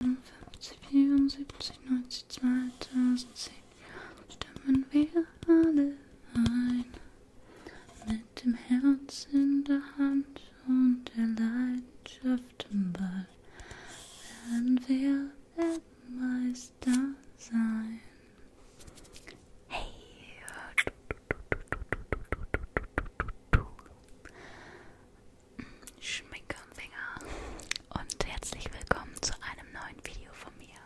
54, 74, 90, 2010 stimmen wir alle ein. Mit dem Herz in der Hand und der Leidenschaft im Ball werden wir Weltmeister sein. Hey! Schminke und Finger und herzlich willkommen zu einem neuen Video von mir.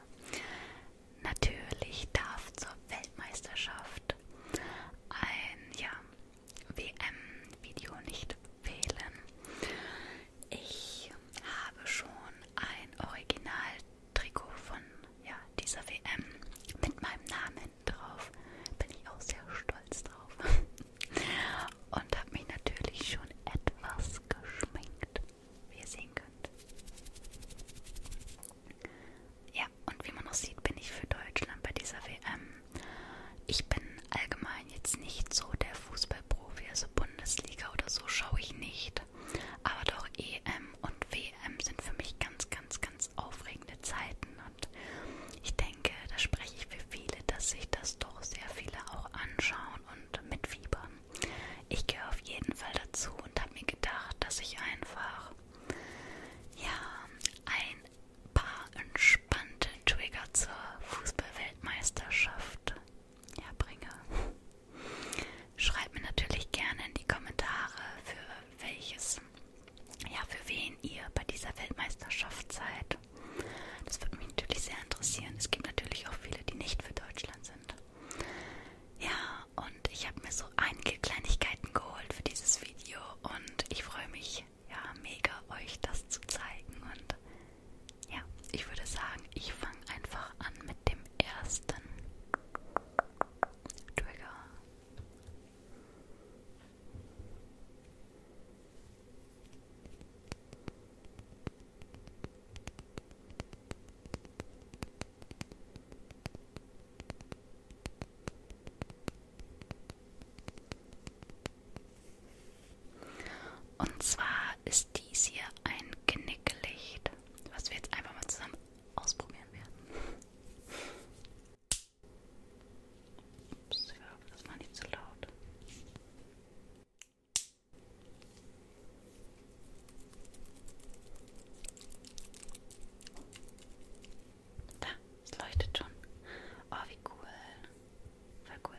Natürlich darf zur Weltmeisterschaft ein ja, WM-Video nicht fehlen. Ich habe schon ein Original-Trikot von ja, dieser WM mit meinem Namen drauf. Bin ich auch sehr stolz drauf. und habe mich natürlich schon etwas geschminkt, wie ihr sehen könnt. Ja, und wie man noch sieht, bin ich für Deutschland bei dieser WM. Ich bin allgemein jetzt nicht so der Fußballprofi, also Bundesliga oder so schaue ich nicht. Aber doch EM und WM sind für mich ganz, ganz, ganz aufregende Zeiten und ich denke, denke, da spreche ich für viele, dass sich das doch sehr viele auch anschauen und mitfiebern. Ich gehöre auf jeden Fall dazu und habe mir gedacht, dass ich einfach ja ein paar entspannte Trigger zur Fußballweltmeisterschaft herbringe. Schreibt mir natürlich gerne in die Kommentare, für welches, ja, für wen ihr bei dieser Weltmeisterschaft seid. Das würde mich natürlich sehr interessieren. Es gibt natürlich auch viele, die nicht für Deutschland sind. Ja, und ich habe mir so einige Kleinigkeiten geholt für dieses Video und ich freue mich ja mega, euch das zu zeigen. Und ja, ich würde sagen, ich fange einfach an mit dem ersten Trigger. Und zwar ist dies hier ein Knicklicht, was wir jetzt einfach mal zusammen ausprobieren werden. Ups, ich hoffe, das war nicht zu laut. Da, es leuchtet schon. Oh, wie cool. Voll cool.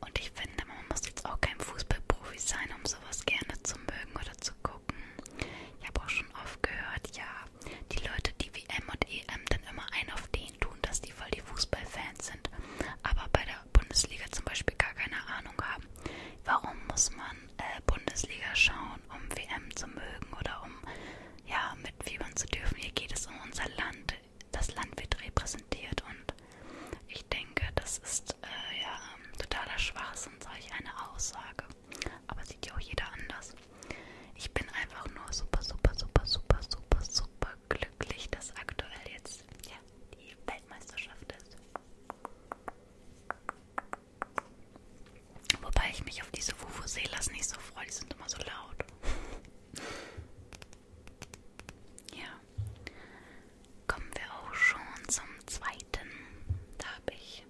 Und ich finde, man muss jetzt auch kein Fußballprofi sein, um sowas gerne zu mögen oder zu gucken. Ich habe auch schon oft gehört, ja, die Leute, die WM und EM dann immer einen auf den tun, dass die voll die Fußballfans sind, aber bei der Bundesliga zum Beispiel gar keine Ahnung haben. Warum muss man äh, Bundesliga schauen, um WM zu mögen oder um ja, mitfiebern zu dürfen. Hier geht es um unser Land. Das Land wird repräsentiert und ich denke, das ist äh, ja totaler Schwachsinn, solch eine Aussage. Aber sieht ja auch jeder anders. Ich bin einfach nur super, super, super, super, super, super glücklich, dass aktuell jetzt ja, die Weltmeisterschaft ist. Wobei ich mich auf diese Vuvuzelas nicht so freue, die sind immer so laut. Ja, kommen wir auch schon zum zweiten. Da habe ich.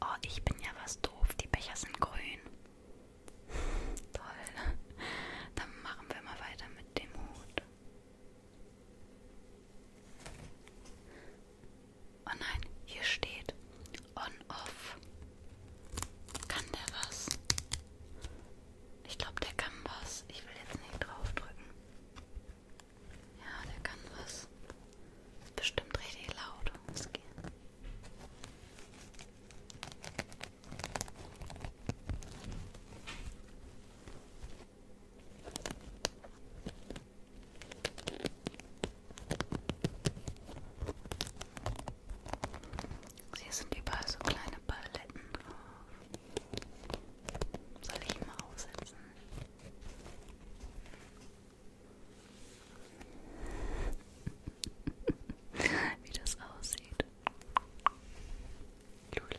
Oh, ich bin ja was doof, die Becher sind grün. Toll. Dann machen wir mal weiter mit dem Hut. Oh nein, hier steht on-off. Kann der was? Ich glaube, der kann was. Ich will jetzt nicht draufdrücken. Ja, der kann was. Ist bestimmt richtig laut. Es geht. Hier sind überall so kleine Paletten drauf. Soll ich mal aufsetzen? Wie das aussieht. Cool.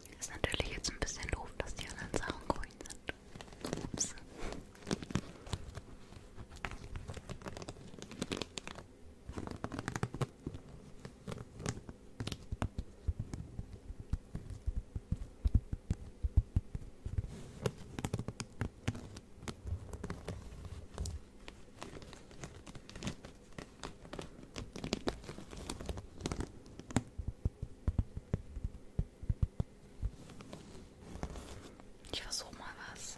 Ist natürlich jetzt ein bisschen doof, dass die anderen Sachen grün sind. Ups. Hm. Ich versuche mal was.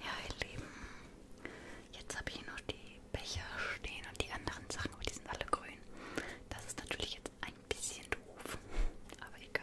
Ja, ihr Lieben, jetzt habe ich hier noch die Becher stehen und die anderen Sachen, aber die sind alle grün. Das ist natürlich jetzt ein ein bisschen doof, aber egal.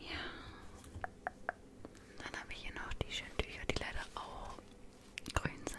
Ja. Dann habe ich hier noch die schönen Tücher, die leider auch grün sind.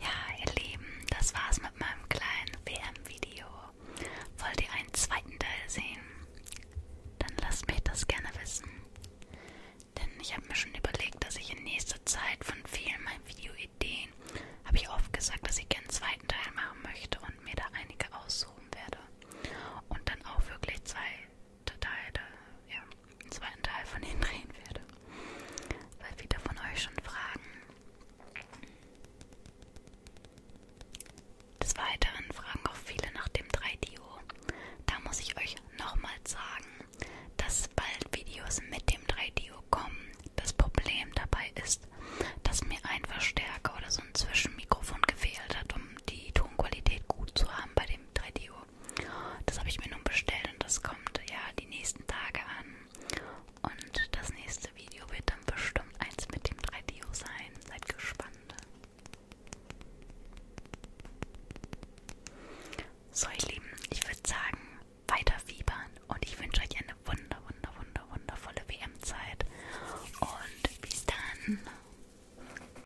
Ja, ihr Lieben, das war's mit meinem kleinen WM-Video. Wollt ihr einen zweiten Teil sehen? Dann lasst mich das gerne wissen. Denn ich habe mir schon überlegt, dass ich in nächster Zeit von vielen meinen Videoideen habe ich oft gesagt, dass ich gerne einen zweiten Teil machen möchte und mir da einige aussuchen werde. Und dann auch wirklich zwei Teile, ja einen zweiten Teil von denen drehen werde. Weil viele von euch schon fragen. Des Weiteren fragen auch viele nach dem 3DO. Da muss ich euch nochmal sagen, dass bald Videos mit dem 3DO kommen. Das Problem dabei ist, dass mir ein Verstärker oder so ein Zwischenmikrofon gefehlt hat, um die Tonqualität gut zu haben bei dem 3DO. Das habe ich mir nun bestellt und das kommt ja die nächsten Tage an. Und das nächste Video wird dann bestimmt eins mit dem 3DO sein. Seid gespannt. So, ihr Lieben, ich würde sagen, weiter fiebern und ich wünsche euch eine wunder, wunder, wunder, wundervolle WM-Zeit. Und bis dann.